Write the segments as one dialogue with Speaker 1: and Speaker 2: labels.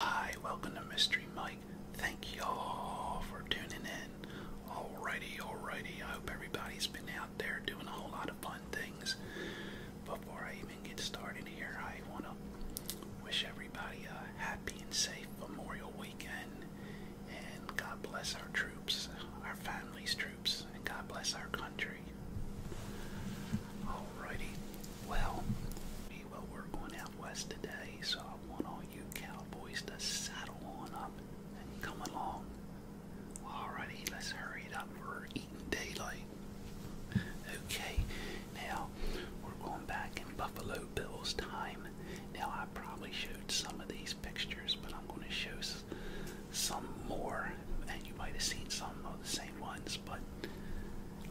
Speaker 1: Hi, welcome to Mystery Mike. Thank y'all for tuning in. Alrighty, alrighty. I hope everybody's been out there doing a whole lot of fun things. Before I even get started here, I want to wish everybody a happy and safe Memorial Weekend. And God bless our troops, our families' troops, and God bless our country. Alrighty, well, well, we're going out west today, so I want all you cowboys to saddle on up and come along. All righty, let's hurry it up. We're eating daylight. Okay, now we're going back in Buffalo Bill's time. Now, I probably showed some of these pictures, but I'm going to show some more, and you might have seen some of the same ones, but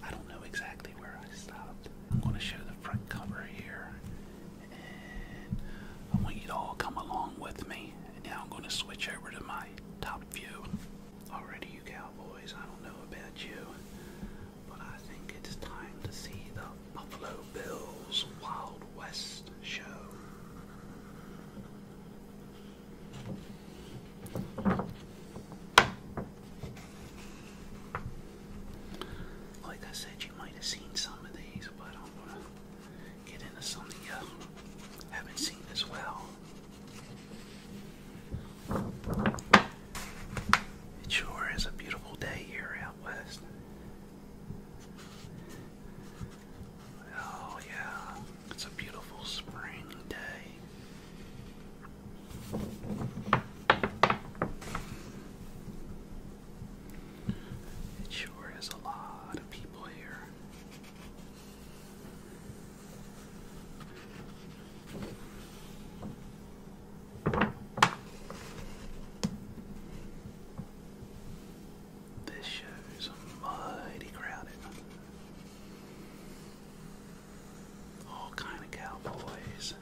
Speaker 1: I don't know exactly. I am going to show the front cover here, and I want you to all come along with me. now I'm going to switch over to my top view. Already, you cowboys, I don't know about you, but I think it's time to see the Buffalo Bills Wild West show. Like I said, you might have seen some of these, but I'm gonna get into some you haven't seen as well. It sure is a beautiful day here out west. Oh, yeah, it's a beautiful spring day. It sure is a lot of people here. This show's mighty crowded all kind of cowboys.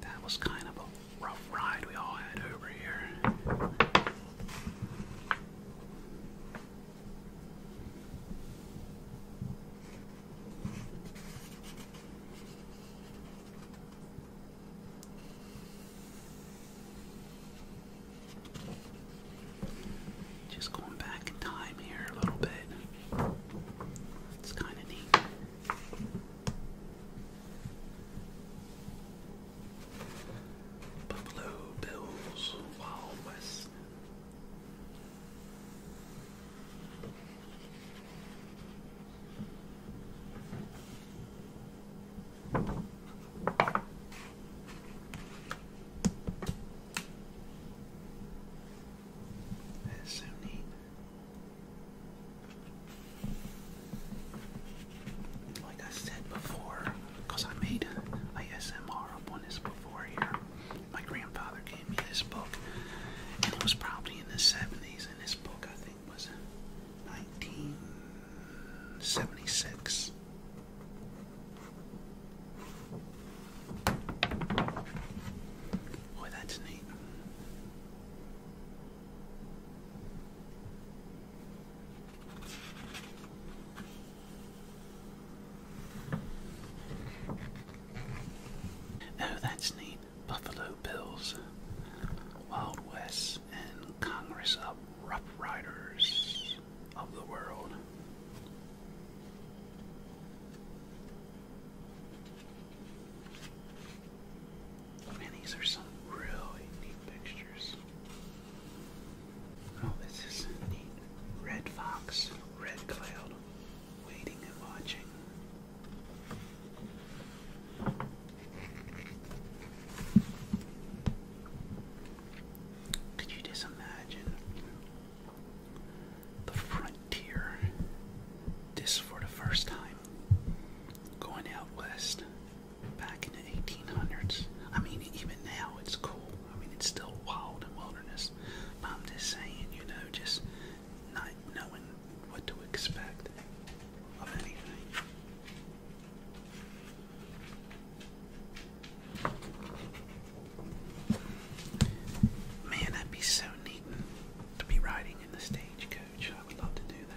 Speaker 1: That was kind of a rough ride we all had over here. Just going back in time here a little bit. It's kind of neat. Buffalo Bills Wild West. That's so neat. Like I said before, because I made a SMR up on this before here, my grandfather gave me this book, and it was probably in the 70s, and this book, I think, was 1976. Boy, that's neat. Oh, that's neat. Buffalo Bills, Wild West, and Congress of Rough Riders of the World. Man, these are some really neat pictures. Oh, this is neat. Red Fox, Red Cloud, waiting and watching. Could you just imagine the frontier just for the first time going out west back in the 1800s? I mean, even now it's cool. I mean, it's still wild and wilderness. I'm just saying, you know, just not knowing what to expect of anything. Man, that'd be so neat to be riding in the stagecoach. I would love to do that.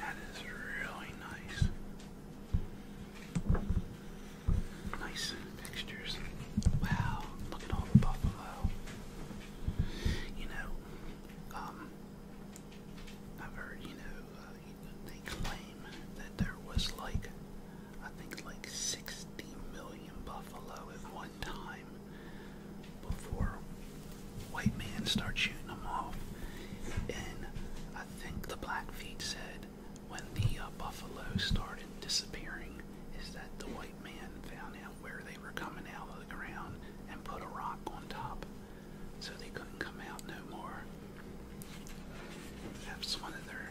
Speaker 1: That is really nice. Nice textures. Wow, look at all the buffalo. You know, um, I've heard, you know, uh, they claim that there was like, I think like 60 million buffalo at one time before white men start shooting them off. And I think the Blackfeet said when the uh, buffalo started disappearing is that the white man found out where they were coming out of the ground and put a rock on top so they couldn't come out no more. That's one of their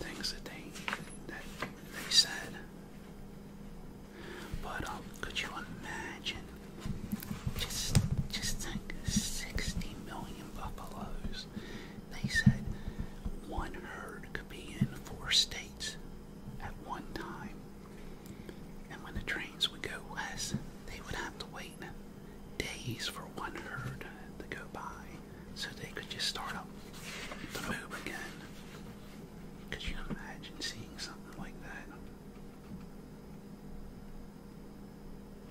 Speaker 1: things that they that they said. But um, could you imagine? Just just think, sixty million buffaloes. They said one herd could be in four states at one time. And when the trains would go west, they would have to wait days for one herd to go by so they could just start up the move again. Could you imagine seeing something like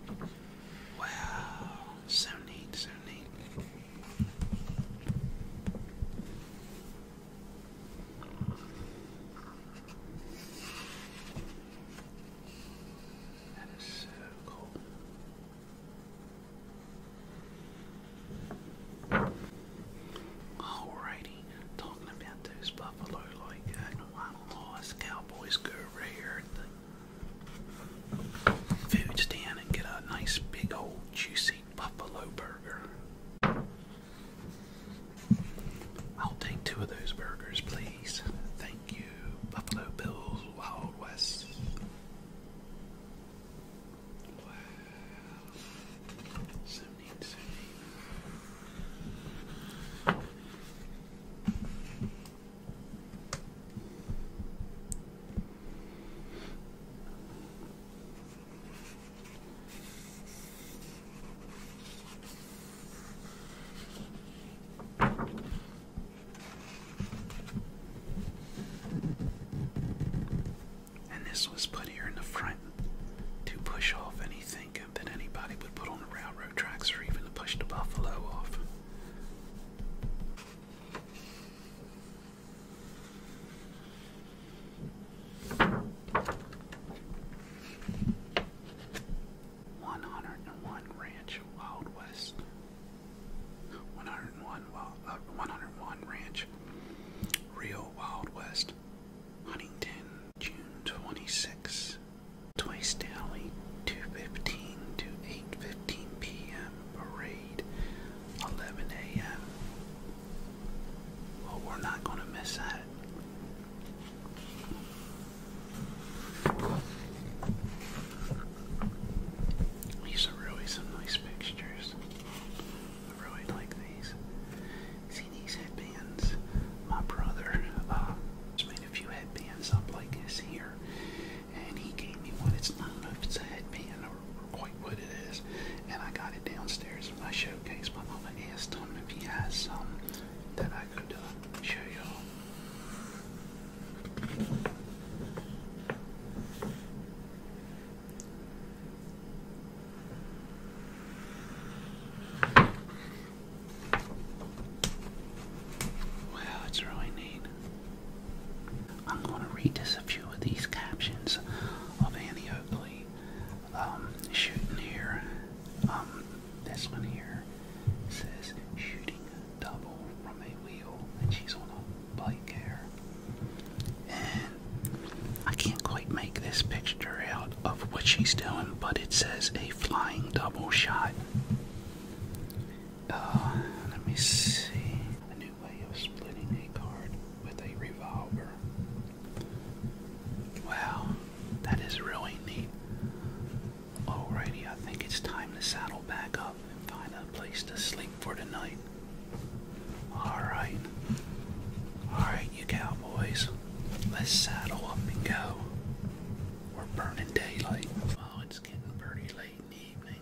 Speaker 1: that? Wow, so neat, so neat. That is so cool. Alrighty, talking about those buffalo like uh, that, one cowboys go over here at the food stand and get a nice big old juicy buffalo burger. I'll take two of those burgers, please. Thank you, Buffalo Bills Wild West. Wow. So and this was put here in the front to push off anything that anybody would put on the railroad tracks or even to push the buffalo off. One hundred and one Ranch Wild West. One hundred and one uh, one hundred and one Ranch Real Wild West. Huntington, June twenty six. Twice daily, two fifteen to eight fifteen PM parade, eleven AM. Well, we're not going to miss that. These are really some nice fixtures. I really like these. See these headbands? My brother uh, just made a few headbands up like this here, and he gave me one. It's not enough, it's a headband, a quite what it is. And I got it downstairs in my showcase. My mama asked him if he has some that I could uh, show y'all. Wow, it's really neat. I'm going to read us a few of these captions of Annie Oakley um, shooting here. Um, this one here says shooting double from a wheel, and she's on a bike here. And I can't quite make this picture out of what she's doing, but it says a flying double shot. Uh, let me see way of splitting a card with a revolver. Wow, that is really neat. Alrighty, I think it's time to saddle back up and find a place to sleep for tonight. Alright. Alright, you cowboys. Let's saddle up and go. We're burning daylight. Oh, it's getting pretty late in the evening,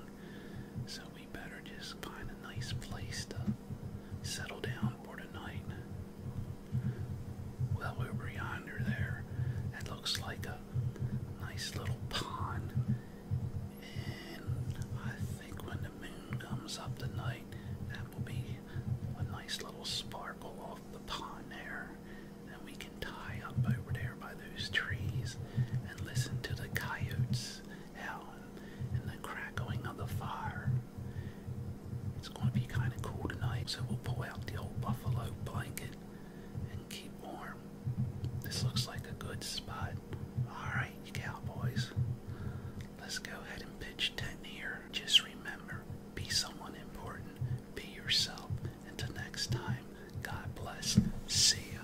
Speaker 1: so we better just find a nice place to Settle down for tonight. Well, over yonder there, it looks like a nice little pond. And I think when the moon comes up tonight, that will be a nice little sparkle off the pond there. And we can tie up over there by those trees and listen to the coyotes hell and, the crackling of the fire. It's going to be kind of cool tonight, so we'll pull out the old buffalo blanket and keep warm. This looks like a good spot. Alright, you cowboys, let's go ahead and pitch tent here. Just remember, be someone important, be yourself. Until next time, God bless. See ya.